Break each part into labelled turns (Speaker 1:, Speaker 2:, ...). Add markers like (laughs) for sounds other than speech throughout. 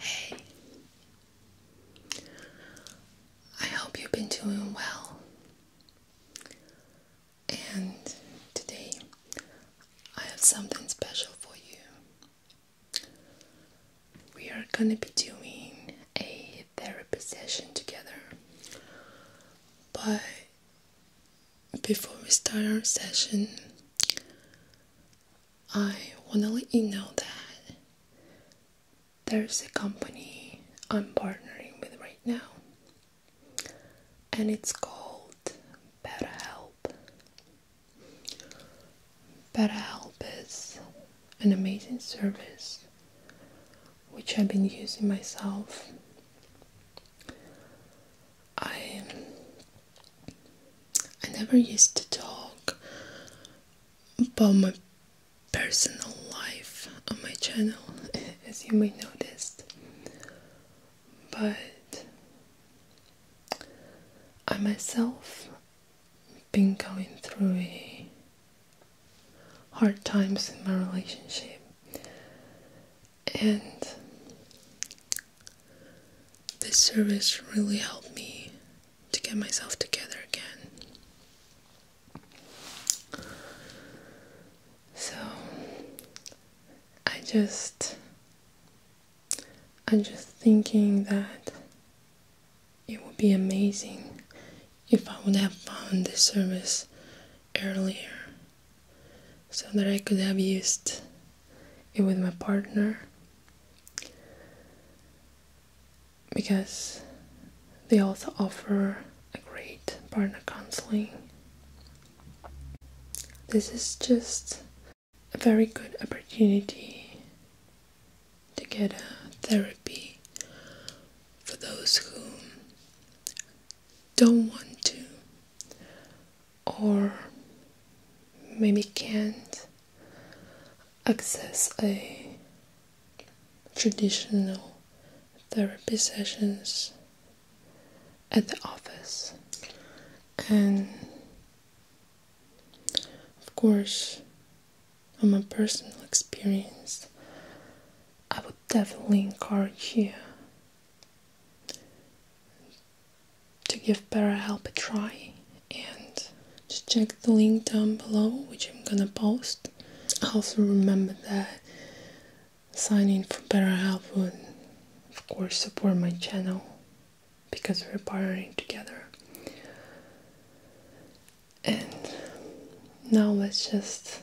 Speaker 1: Hey, I hope you've been doing well. And today I have something special for you. We are gonna be doing a therapy session together, but before we start our session, I want to let you know that there's a company I'm partnering with right now, and it's called BetterHelp. BetterHelp is an amazing service which I've been using myself I I never used to talk about my personal life on my channel, (laughs) as you may noticed, but I myself been going through a hard times in my relationship and this service really helped me to get myself together again. So I just I'm just thinking that it would be amazing if I would have found this service earlier so that I could have used it with my partner because they also offer a great partner counseling. This is just a very good opportunity to get a therapy for those who don't want to or maybe can't access a traditional therapy sessions at the office and of course on my personal experience i would definitely encourage you to give BetterHelp a try and just check the link down below which I'm gonna post. Also remember that signing for BetterHelp would of course support my channel because we're partnering together. And now let's just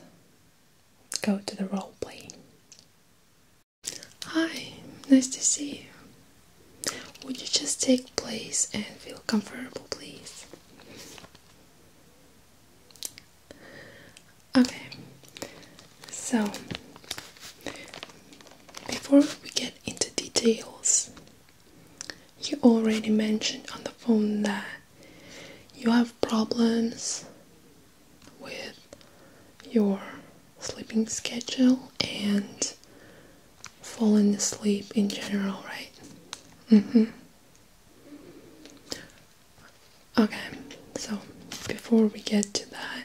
Speaker 1: go to the role play. Hi, nice to see you. Would you just take place and feel comfortable, please? Okay, so before we get into details, you already mentioned on the phone that you have problems with your sleeping schedule and falling asleep in general, right? Mm-hmm. Okay, so before we get to that,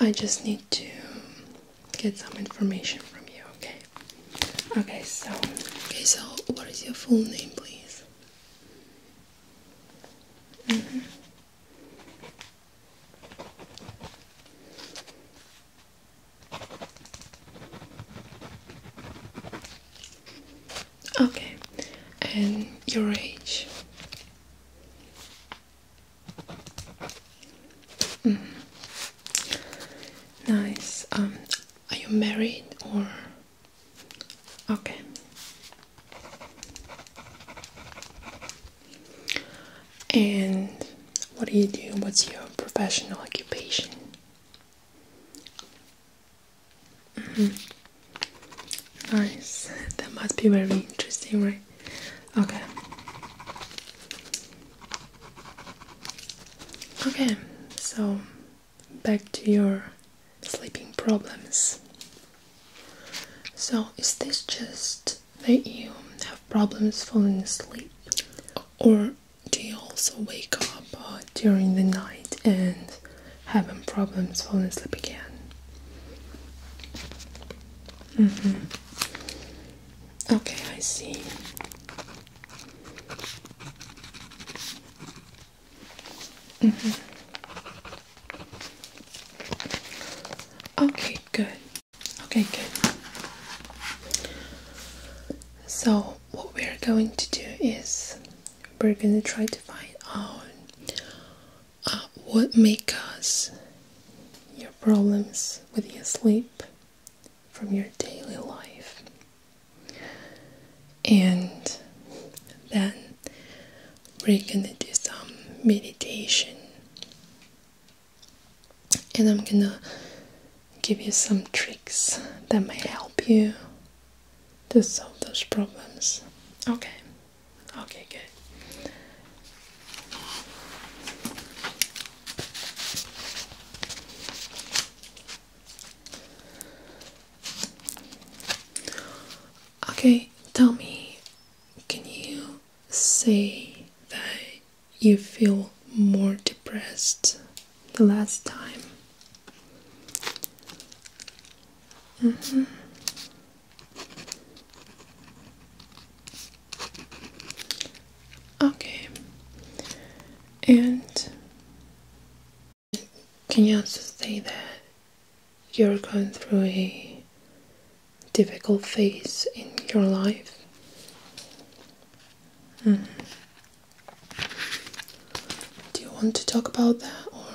Speaker 1: I just need to get some information from you, okay? Okay, so okay, so what is your full name, please? Mm-hmm. Okay, and your age. Mm-hmm. Nice. Um, are you married or Okay. And what do you do? What's your professional occupation? Mm-hmm. Nice. (laughs) That must be very interesting, right? Okay. Okay, so back to your sleeping problems. So, is this just that you have problems falling asleep, or do you also wake up uh, during the night and having problems falling asleep again? Mm -hmm. Okay, I see. Mm-hmm. Okay, good. Okay, good. So, what we are going to do is we're going to try to find out uh, what may cause your problems with your sleep from your daily life and then we're gonna do some meditation and I'm gonna give you some tricks that may help you to solve those problems. Okay, okay, good. Okay, tell me, can you say that you feel more depressed the last time? Mm -hmm. Okay, and can you also stay there? you're going through a difficult phase in your life? Hmm. Do you want to talk about that or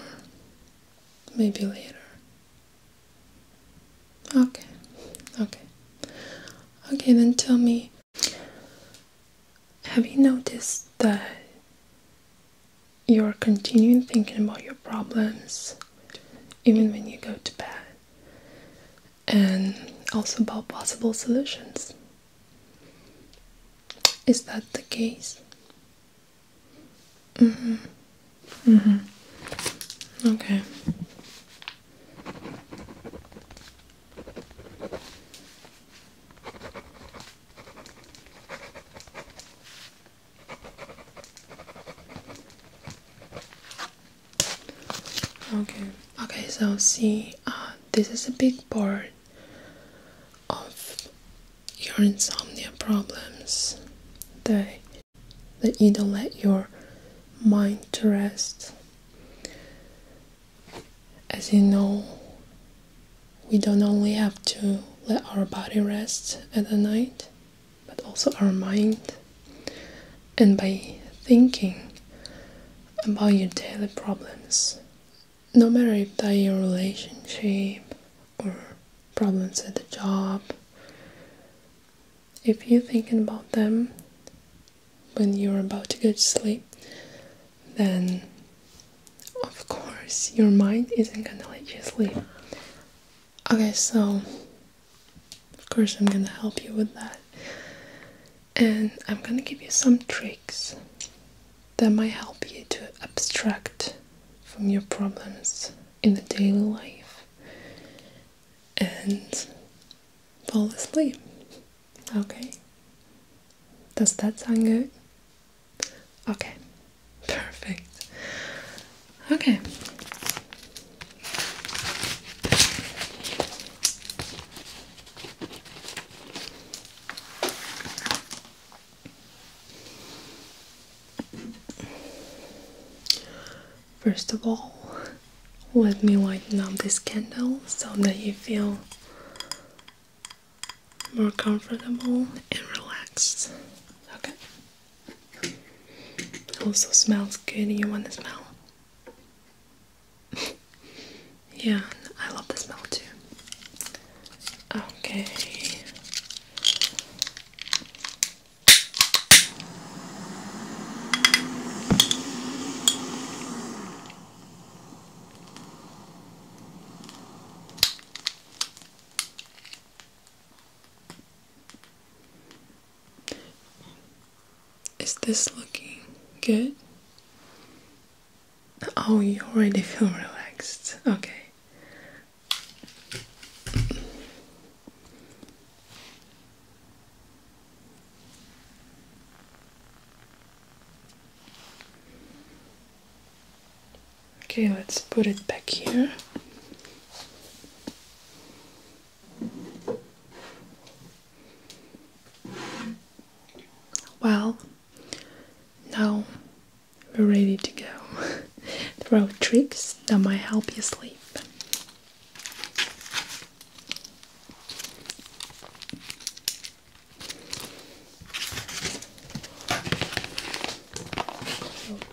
Speaker 1: maybe later? Okay, okay. Okay, then tell me have you noticed that you're continuing thinking about your problems even when you go to bed? And also about possible solutions. Is that the case? Mm hmm. Mm hmm. Okay. Okay, okay, so see, uh, this is a big part of your insomnia problems that, that you don't let your mind rest. As you know, we don't only have to let our body rest at the night, but also our mind. And by thinking about your daily problems, no matter if they're relationship or problems at the job, if you're thinking about them when you're about to go to sleep, then of course your mind isn't gonna let you sleep. Okay, so of course I'm gonna help you with that. And I'm gonna give you some tricks that might help you to abstract from your problems in the daily life and fall asleep. Okay. Does that sound good? Okay. (laughs) Perfect. Okay. First of all, let me light up this candle so that you feel more comfortable and relaxed. Okay. It Also smells good. You want the smell? (laughs) yeah, I love the smell too. Okay. Is this looking good? Oh, you already feel relaxed. Okay. Okay, let's put it back here. Well, now we're ready to go. (laughs) there tricks that might help you sleep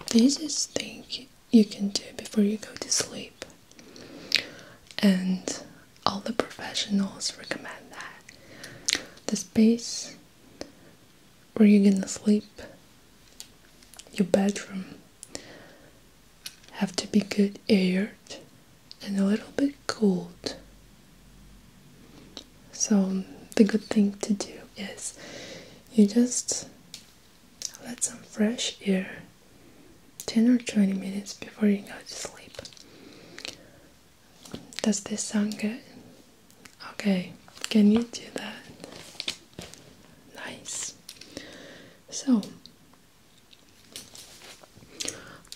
Speaker 1: this is thing you can do before you go to sleep. And all the professionals recommend that. The space where you're gonna sleep, your bedroom, have to be good aired and a little bit cold. So, the good thing to do is you just let some fresh air 10 or 20 minutes before you go to sleep. Does this sound good? Okay, can you do that? Nice. So,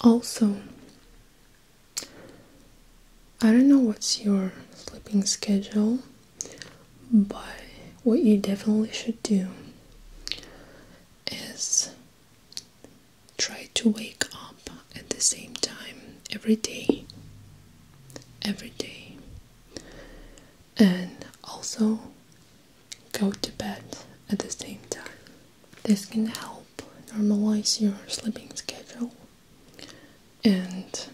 Speaker 1: also, I don't know what's your sleeping schedule, but what you definitely should do is try to wake up at the same time every day. Every day. And also go to bed at the same time. This can help normalize your sleeping schedule, and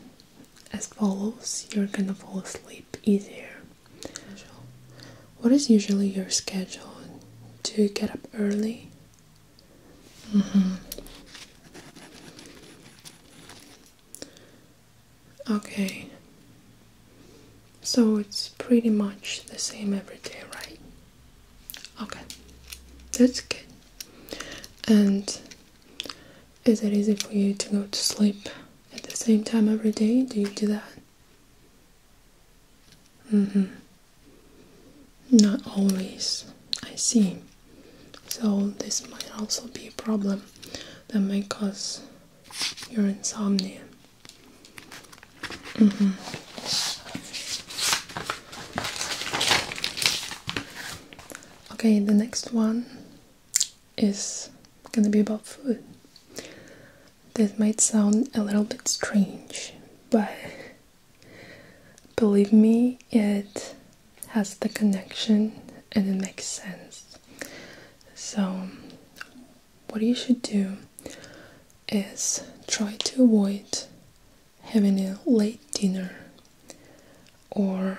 Speaker 1: as follows, you're gonna fall asleep easier. What is usually your schedule? Do you get up early? Mm -hmm. Okay. So it's pretty much the same every day, right? Okay, that's good. And is it easy for you to go to sleep at the same time every day? Do you do that? Mm hmm. Not always. I see. So this might also be a problem that may cause your insomnia. Mm-hmm. Okay, the next one is gonna be about food. This might sound a little bit strange, but believe me, it has the connection and it makes sense. So, what you should do is try to avoid having a late dinner or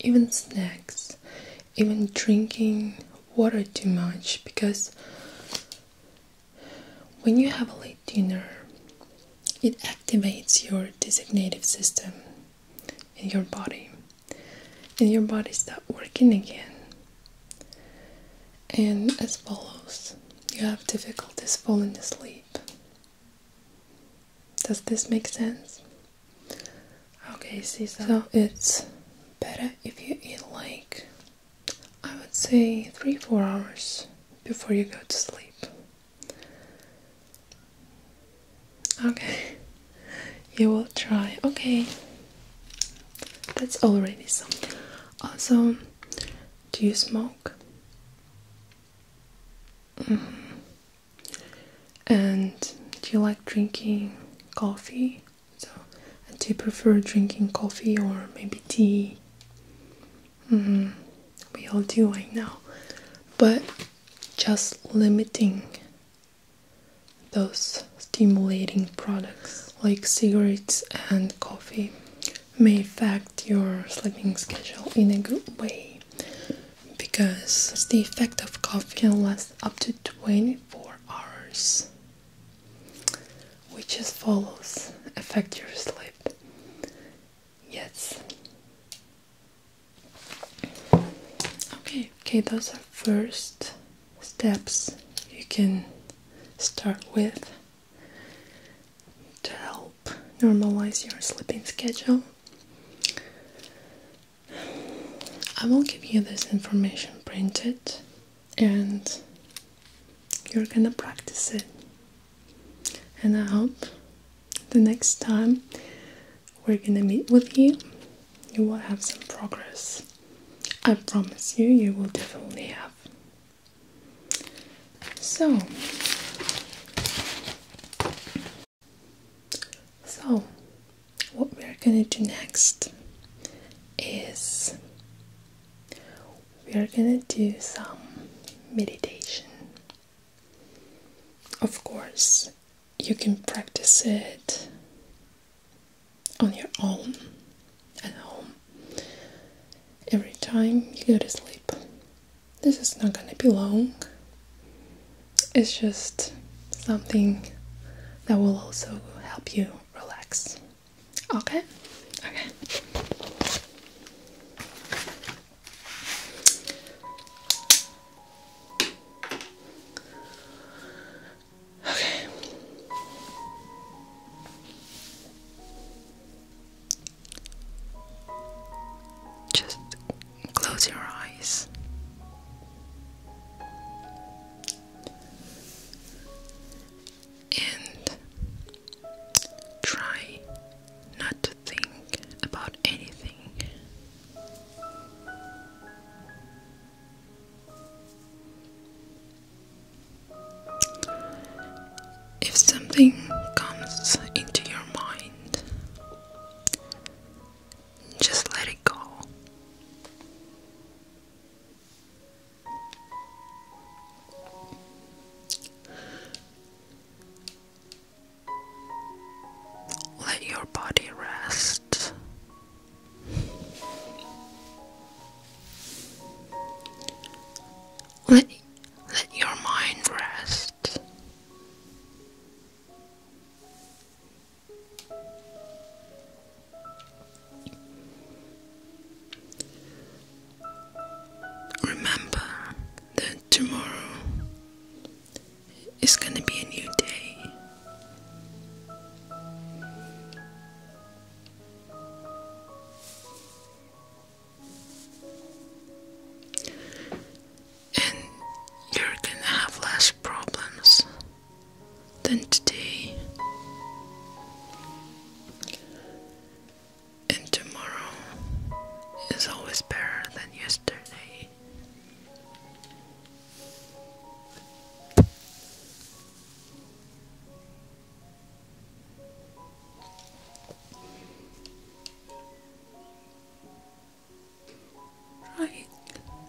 Speaker 1: even snacks, even drinking water too much because when you have a late dinner, it activates your digestive system in your body and your body starts working again and as follows you have difficulties falling asleep. Does this make sense? Okay, see, so, so it's better if you eat like I would say three four hours before you go to sleep. Okay, (laughs) you will try. Okay. That's already something. Also, do you smoke? Mm-hmm. And do you like drinking coffee? So, do you prefer drinking coffee or maybe tea? Mm-hmm. We all do, I know, but just limiting those stimulating products like cigarettes and coffee may affect your sleeping schedule in a good way because the effect of coffee can last up to 24 hours, which as follows affect your sleep. Yes. Okay, okay, those are first steps you can start with to help normalize your sleeping schedule. I will give you this information printed and you're gonna practice it. And I hope the next time we're gonna meet with you, you will have some progress. I promise you, you will definitely have. So, so what we are going to do next is we are going to do some meditation. Of course, you can practice it on your own at home every time you go to sleep. This is not gonna be long, it's just something that will also help you relax. Okay? Okay. Okay. Just close your eyes. And try not to think about anything. If something comes into your mind, just let it go. Let your body rest let, let your mind rest. Remember that tomorrow is going to be a new day. And you're gonna have less problems than today. And tomorrow is always better than yesterday.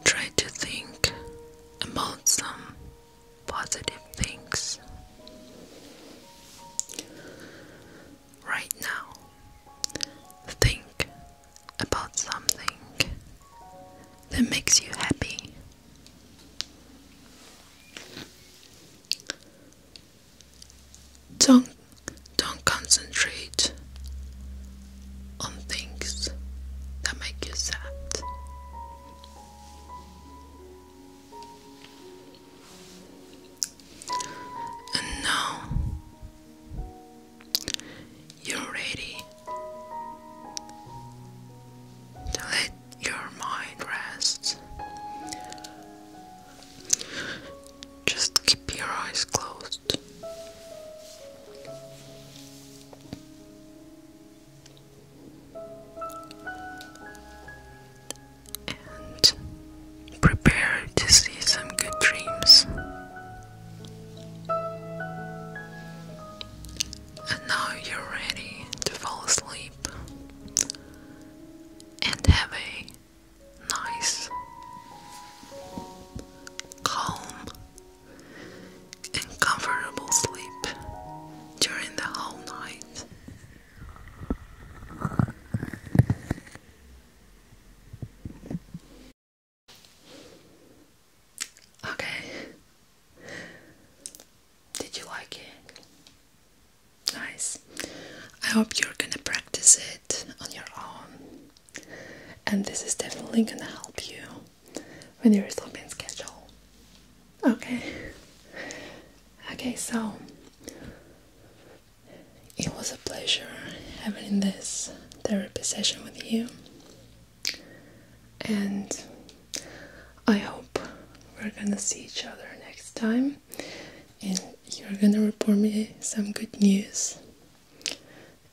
Speaker 1: Try, to think about some positive things right now. Think about something that makes you happy. Don't don't concentrate on things that make you sad. And now you're ready let your mind rest. Just keep your eyes closed. And prepare to see some good dreams. And now you're ready to fall asleep and have a nice, calm, and comfortable sleep during the whole night. Okay. Did you like it? Nice. I hope you're gonna practice it on your own. And this is definitely gonna help you with your sleeping schedule. Okay. Okay, so it was a pleasure having this therapy session with you and I hope we're gonna see each other next time and you're gonna report me some good news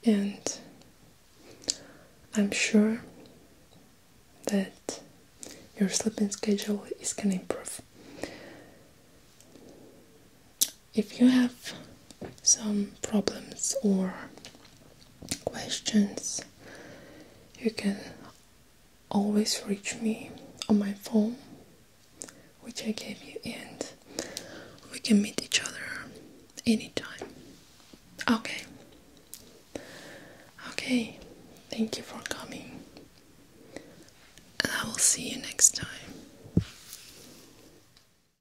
Speaker 1: and I'm sure that your sleeping schedule is gonna improve if you have some problems or questions, you can always reach me on my phone, which I gave you, and we can meet each other anytime. Okay. Okay. Thank you for coming. And I will see you next time.